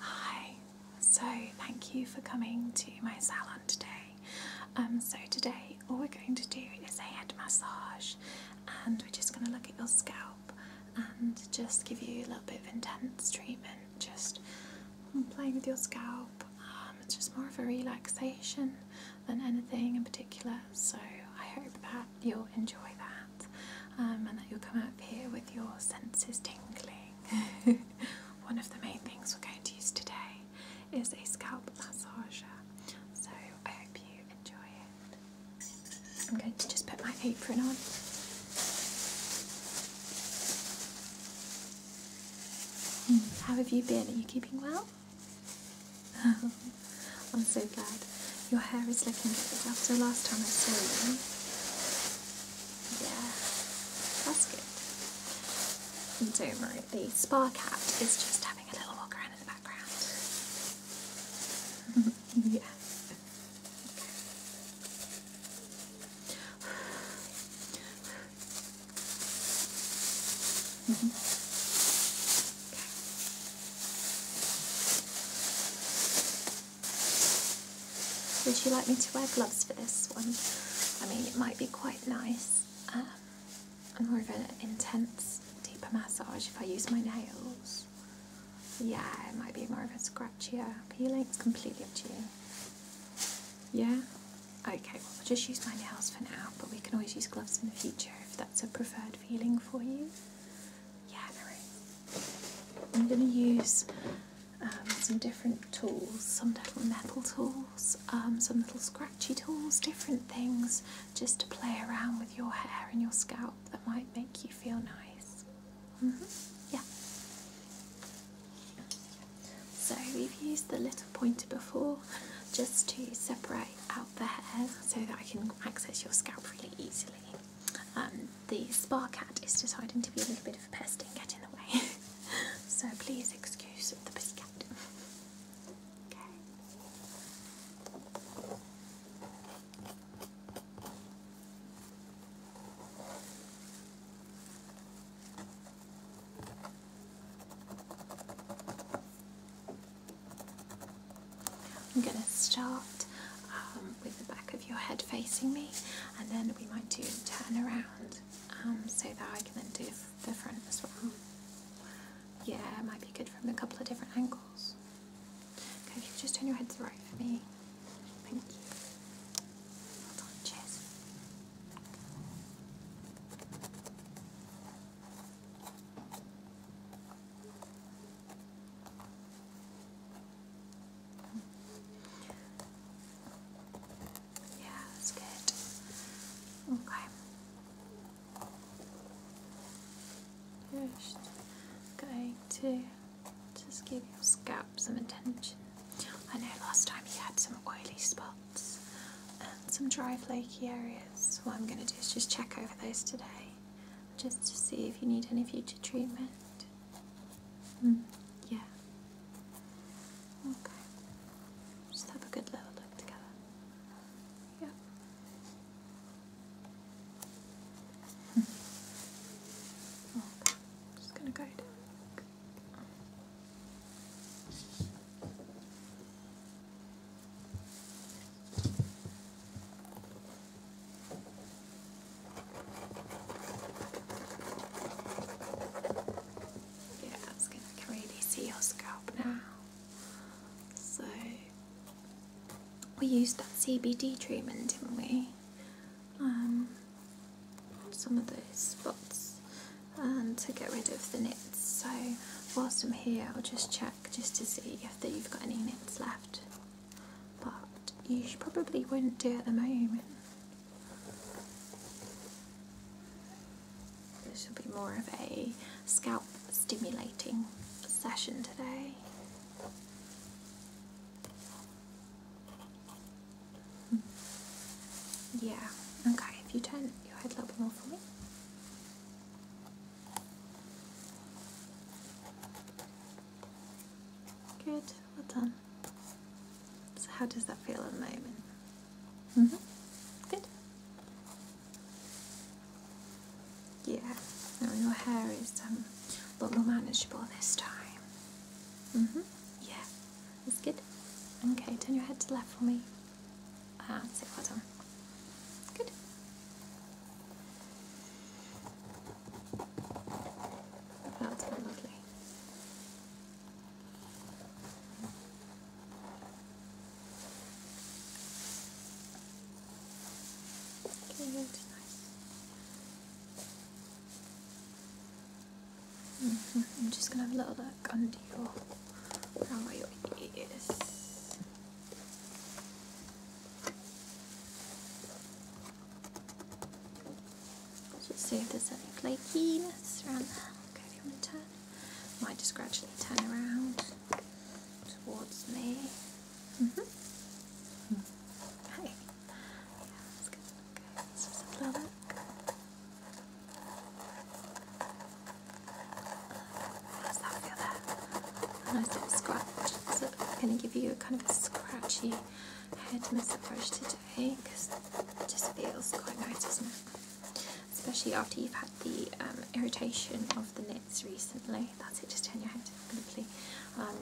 Hi, so thank you for coming to my salon today. Um, so today all we're going to do is a head massage and we're just going to look at your scalp and just give you a little bit of intense treatment, just playing with your scalp. Um, it's just more of a relaxation than anything in particular, so I hope that you'll enjoy that. Um, and that you'll come up here with your senses tingling. One of the main things we're going to use today is a scalp massager, so I hope you enjoy it. I'm going to just put my apron on. Hmm, how have you been? Are you keeping well? I'm so glad. Your hair is looking good after last time I saw you. Yeah, that's good. And don't worry, the spa cat is just having a little walk around in the background. yeah. Mm-hmm. Would you like me to wear gloves for this one? I mean, it might be quite nice. Um, I'm more of an intense, deeper massage if I use my nails. Yeah, it might be more of a scratchier feeling. It's completely up to you. Yeah? Okay, well, we'll just use my nails for now, but we can always use gloves in the future if that's a preferred feeling for you yammering. I'm going to use um, some different tools, some little metal tools, um, some little scratchy tools, different things just to play around with your hair and your scalp that might make you feel nice. Mm-hmm. Yeah. So we've used the little pointer before just to separate out the hair so that I can access your scalp really easily. Um, the spa cat is deciding to be a little bit of a pest and get in the way, so please excuse the pussy okay. I'm going to start um, with the back of your head facing me and then we might do turn around um, so that I can then do the front as well. Yeah, it might be good from a couple of different angles. Can you just turn your head to the right for me. Thank you. Well done, cheers. Yeah, that's good. Okay. Just going to just give your scalp some attention. I know last time you had some oily spots and some dry flaky areas. What I'm going to do is just check over those today just to see if you need any future treatment. Mm. yeah. Okay. Just have a good little look together. Yeah. Hmm. okay. Just gonna go down. Yes, yeah, I can really see your scalp now. So we used that CBD treatment, didn't we? Um, some of those spots and um, to get rid of the nits. So whilst I'm here, I'll just check just to see if you've got any nits left but you probably wouldn't do at the moment. This will be more of a scalp stimulating session today. Hmm. Yeah, okay, if you turn your head a little bit more for me. Good, well done. So how does that feel at the moment? Mm hmm Good. Yeah, now your hair is um, a lot more manageable this time. Mm hmm Yeah, It's good. Okay, turn your head to left for me. Ah, that's it, well done. Good. That's lovely. Okay, that's nice. I'm just gonna have a little look under your around your ears. Just see if there's any flakiness around there. Okay, if you want to turn? Might just gradually turn around towards me. Mm-hmm. Okay. Yeah, that's good. Okay, just have a look. How's that feel there? nice little scratch. So I'm going to give you a kind of a scratchy head massage today because it just feels quite nice, doesn't it? Especially after you've had the um, irritation of the nits recently. That's it, just turn your head completely. Um,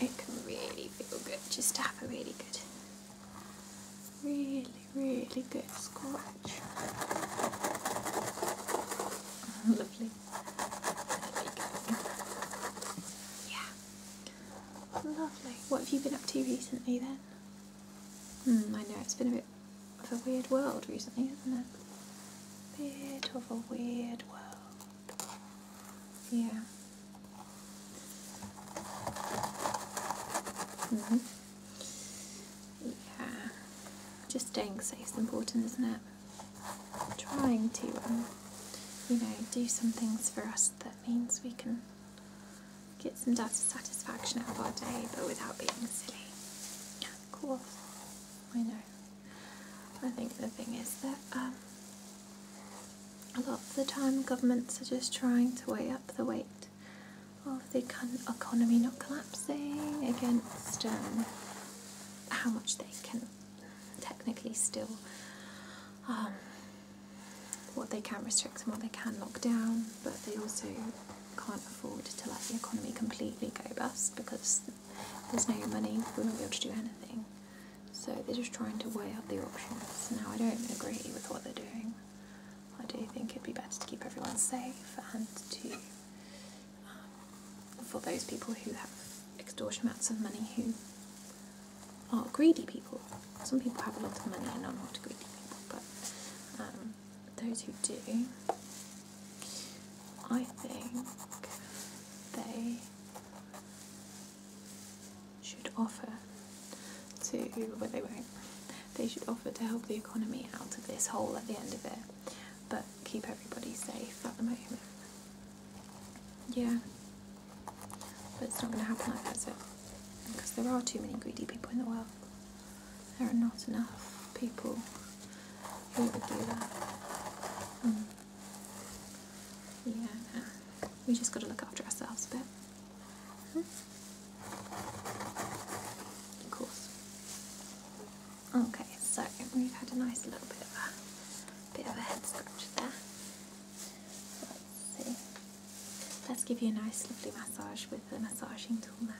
it can really feel good just have a really good really, really good scratch. Lovely. Yeah. Lovely. What have you been up to recently then? Hmm, I know it's been a bit of a weird world recently, is not it? Bit of a weird world. Yeah. Mm hmm yeah. Just staying safe is important, isn't it? Trying to, um, you know, do some things for us that means we can get some satisfaction out of our day, but without being silly. Of course, I know. I think the thing is that um, a lot of the time governments are just trying to weigh up the weight of the economy not collapsing against um, how much they can technically still, um, what they can restrict and what they can lock down, but they also can't afford to let the economy completely go bust because there's no money, we won't be able to do anything. So they're just trying to weigh up the options. Now, I don't agree with what they're doing. I do think it'd be better to keep everyone safe and to um, for those people who have extortion amounts of money who are greedy people. Some people have a lot of money and are not greedy people, but um, those who do, I think they should offer to, but they won't, they should offer to help the economy out of this hole at the end of it. But keep everybody safe at the moment. Yeah. But it's not going to happen like that, is it? Because there are too many greedy people in the world. There are not enough people who would do that. Mm. Yeah, we just got to look after ourselves a bit. Hmm? Of course. Okay, so we've had a nice little bit of a bit of a head scratch there. Let's give you a nice lovely massage with the massaging tool now.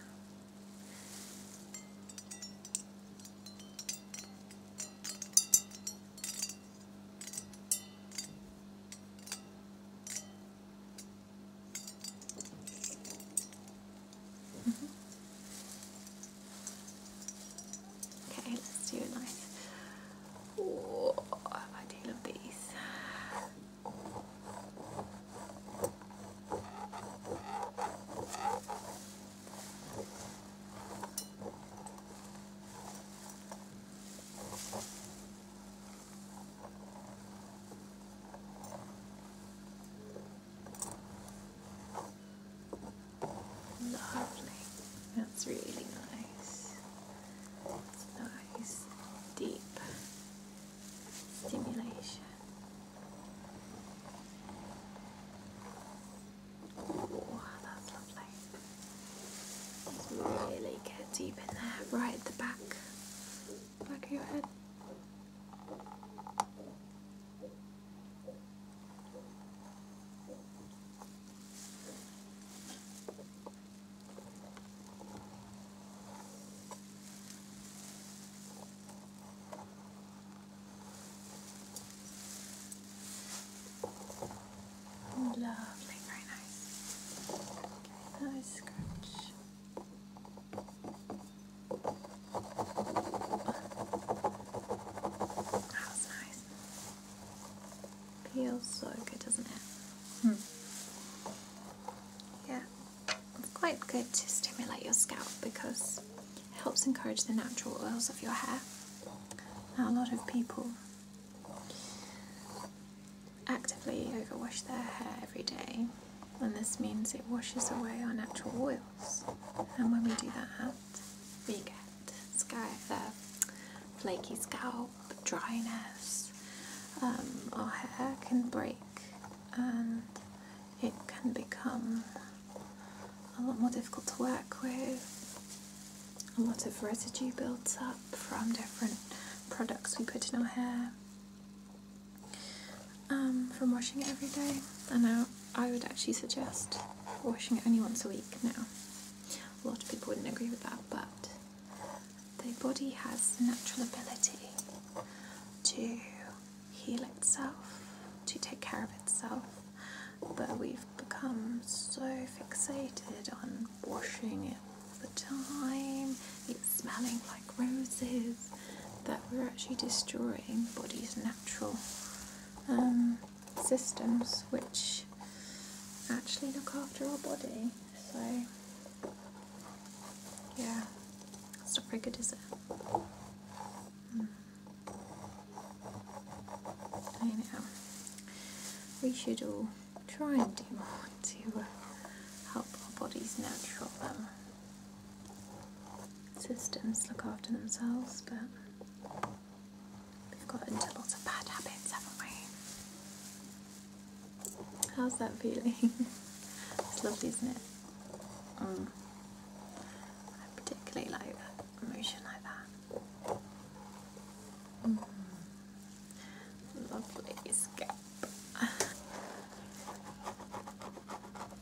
Mm-hmm. Okay, let's do a nice. Oh, I do love these. Lovely. That's really nice. It's nice, deep stimulation. Oh, that's lovely. really get deep in there, right at the back back of your head. Lovely, very nice. Nice scratch. That was nice. Feels so good, doesn't it? Hmm. Yeah, it's quite good to stimulate your scalp because it helps encourage the natural oils of your hair. Now, a lot of people actively overwash their hair every day and this means it washes away our natural oils. And when we do that, we get sky, uh, flaky scalp, dryness. Um, our hair can break and it can become a lot more difficult to work with. A lot of residue builds up from different products we put in our hair. Um, from washing it every day, and I, I would actually suggest washing it only once a week now. A lot of people wouldn't agree with that, but the body has natural ability to heal itself, to take care of itself, but we've become so fixated on washing it all the time, it's smelling like like roses that we're actually destroying body's natural um, systems which actually look after our body so yeah it's a pretty good is it mm. we should all try and do more to uh, help our bodies natural um, systems look after themselves, but we've got into lots of bad habits, haven't we? How's that feeling? it's lovely, isn't it? Mm. I particularly like that emotion like that. Mm. Lovely scalp. okay,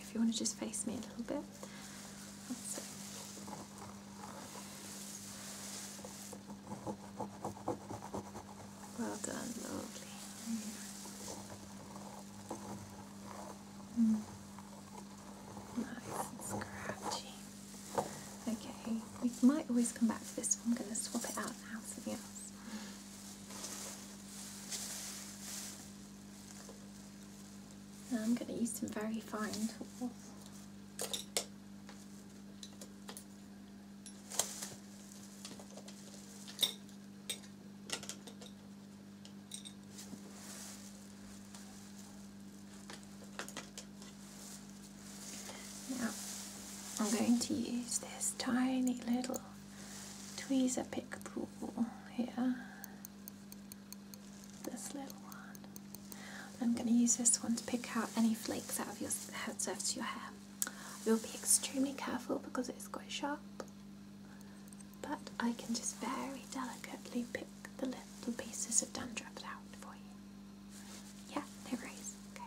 if you want to just face me a little bit. Well done, lovely. Mm. Nice and scratchy. Okay, we might always come back to this one. I'm going to swap it out now for something else. I'm going to use some very fine tools. Now I'm going to use this tiny little tweezer pick tool here. This little one. I'm going to use this one to pick out any flakes out of your surface of your hair. You'll be extremely careful because it's quite sharp, but I can just very delicately pick the little pieces of dandruff out for you. Yeah, there it is. Okay.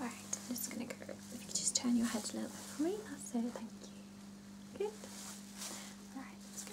Alright, I'm just gonna go. If you just turn your head a little bit for me, that's it, thank you. Good. Alright, let's go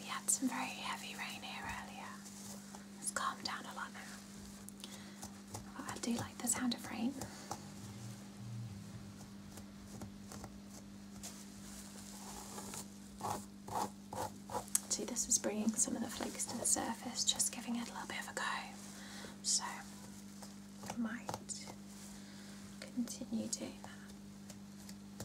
We had some very heavy rain here earlier. It's calmed down a lot now. But I do like the sound of rain. See, this is bringing some of the flakes to the surface, just giving it a little bit of a go. So, I might continue doing that.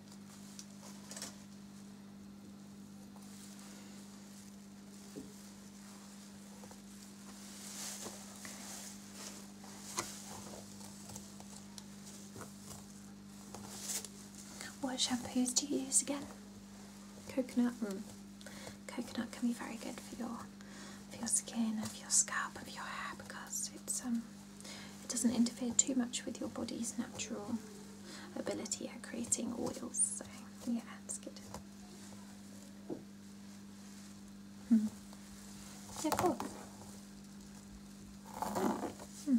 What shampoos do you use again? Coconut. Hmm. Coconut can be very good for your for your skin, and for your scalp, and for your hair because it's um it doesn't interfere too much with your body's natural ability at creating oils, so yeah, that's good. Hmm. Yeah, cool. Hmm.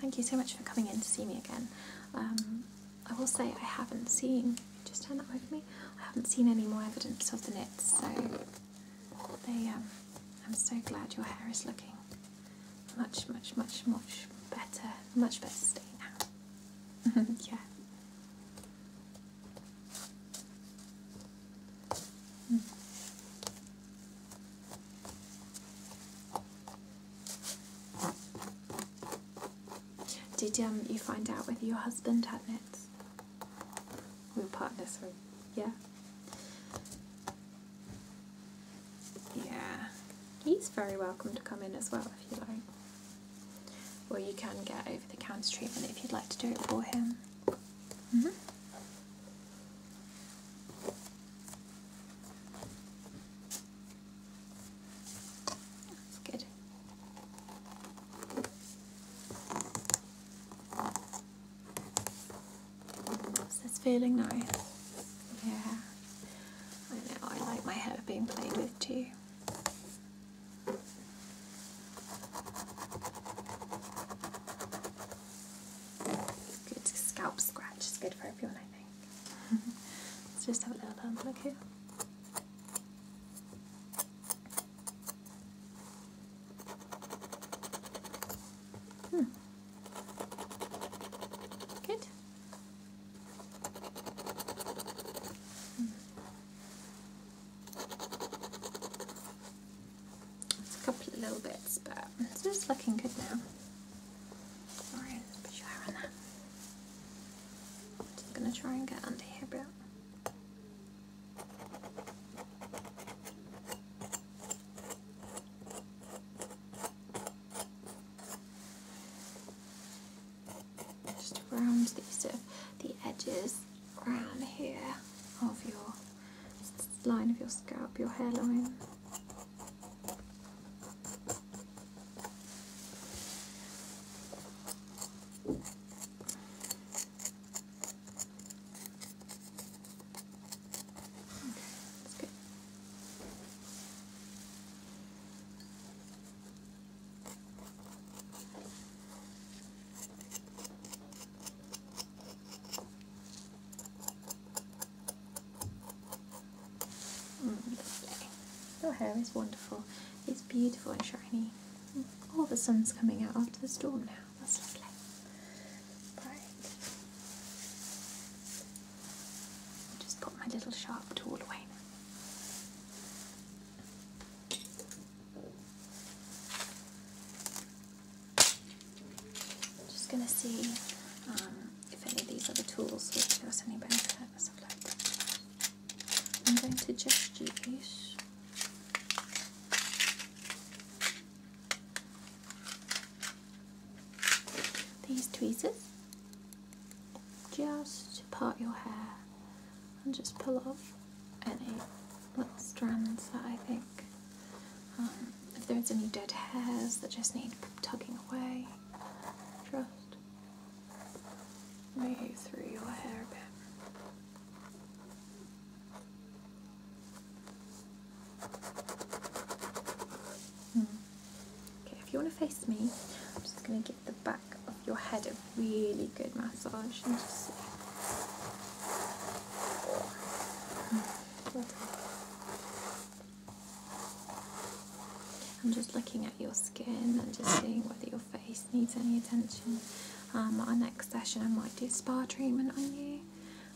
Thank you so much for coming in to see me again. Um, I will say I haven't seen just turn that over me. I haven't seen any more evidence of the nets, so they. Um, I'm so glad your hair is looking much, much, much, much better, much better state now. yeah. Hmm. Did um, you find out whether your husband had nets? We were partners for, yeah. Yeah. He's very welcome to come in as well if you like. Or you can get over the counter treatment if you'd like to do it for him. Mm-hmm. That's good. It's feeling nice? Yeah. I know, I like my hair being played with too. Good scalp scratch is good for everyone, I think. Let's just have a little look here. Hmm. Good. Hmm. a couple of little bits, but it's just looking good now. Alright, put your hair on that. I'm just gonna try and get under here, bro. Just around these the edges around here of your line of your scalp, your hairline. Okay, that's mm, good. Your hair is wonderful. It's beautiful and shiny. Oh, the sun's coming out after the storm now. That's lovely. Right. Just put my little sharp tool away Just gonna see um, if any of these other tools give us any benefit. Let's I'm going to just use these tweezers just to part your hair and just pull off any little strands that I think um, if there's any dead hairs that just need tugging away just move through your hair a bit Hmm. Okay, if you want to face me, I'm just going to give the back of your head a really good massage and just see. I'm just looking at your skin and just seeing whether you're face needs any attention. Um, our next session, I might do a spa treatment on you,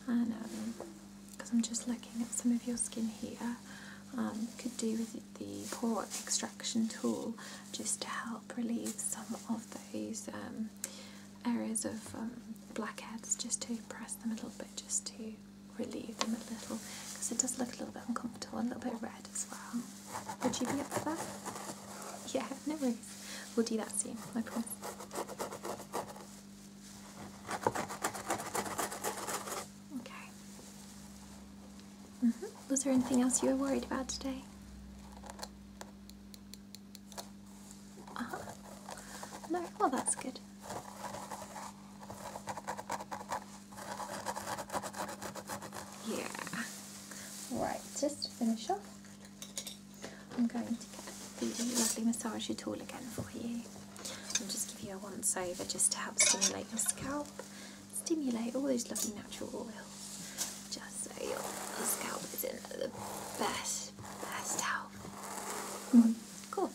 and because I'm just looking at some of your skin here, um, could do with the pore extraction tool just to help relieve some of those um, areas of blackheads, just to press them a little bit, just to relieve them a little, because it does look a little bit uncomfortable, a little bit red as well. Would you be up for that? Yeah, no worries. We'll do that soon, I promise. Okay. Mm-hmm. Was there anything else you were worried about today? Uh -huh. No, well, that's good. Yeah. Right, just to finish off. I'm going to get the lovely massage tool again for you. I'll just give you a once over just to help stimulate your scalp, stimulate all those lovely natural oils, just so your scalp is in the best, best health. Mm-hmm. Cool.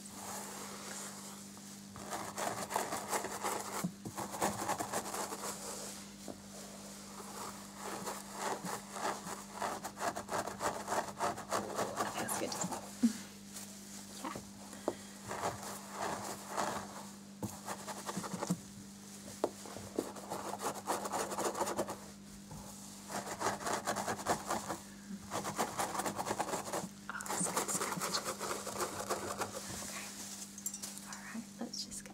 That good, yeah. that's good, that's good. Okay. Alright, let's just get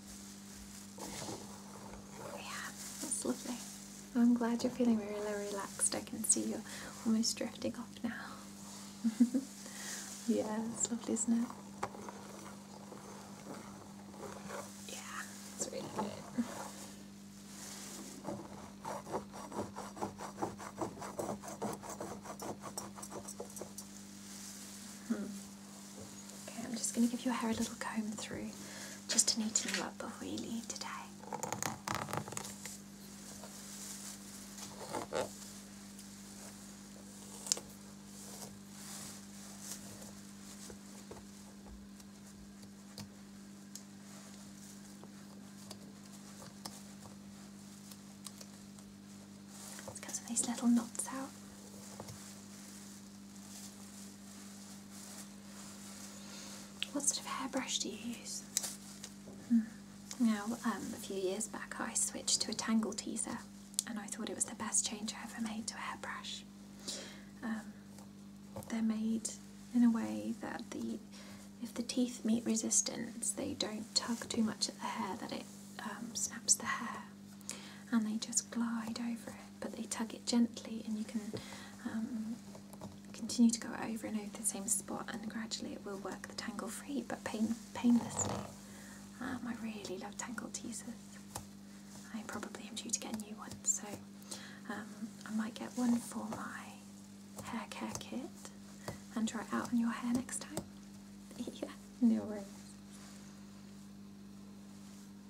Yeah, that's lovely. I'm glad you're feeling really relaxed. I can see you're almost drifting off now. yeah, it's lovely, isn't it? Yeah, it's really good. Hmm. Okay, I'm just going to give your hair a little comb through just to neaten you up before you leave today. get some of these little knots out. What sort of hairbrush do you use? Hmm. Now, um, a few years back, I switched to a tangle teaser, and I thought it was the best change I ever made to a hairbrush. Um, they're made in a way that the if the teeth meet resistance, they don't tug too much at the hair that it um, snaps the hair, and they just glide over it but they tug it gently and you can um, continue to go over and over the same spot and gradually it will work the tangle free but pain painlessly. Um, I really love tangle teasers. I probably am due to get a new one so um, I might get one for my hair care kit and try it out on your hair next time. yeah, no worries.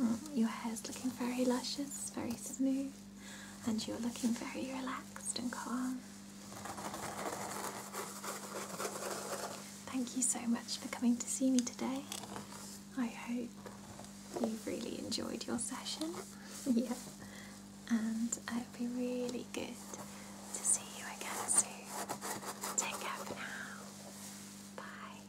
Mm, your hair is looking very luscious, very smooth, and you're looking very relaxed and calm. Thank you so much for coming to see me today. I hope you really enjoyed your session. yeah. And it will be really good to see you again soon. Take care for now. Bye.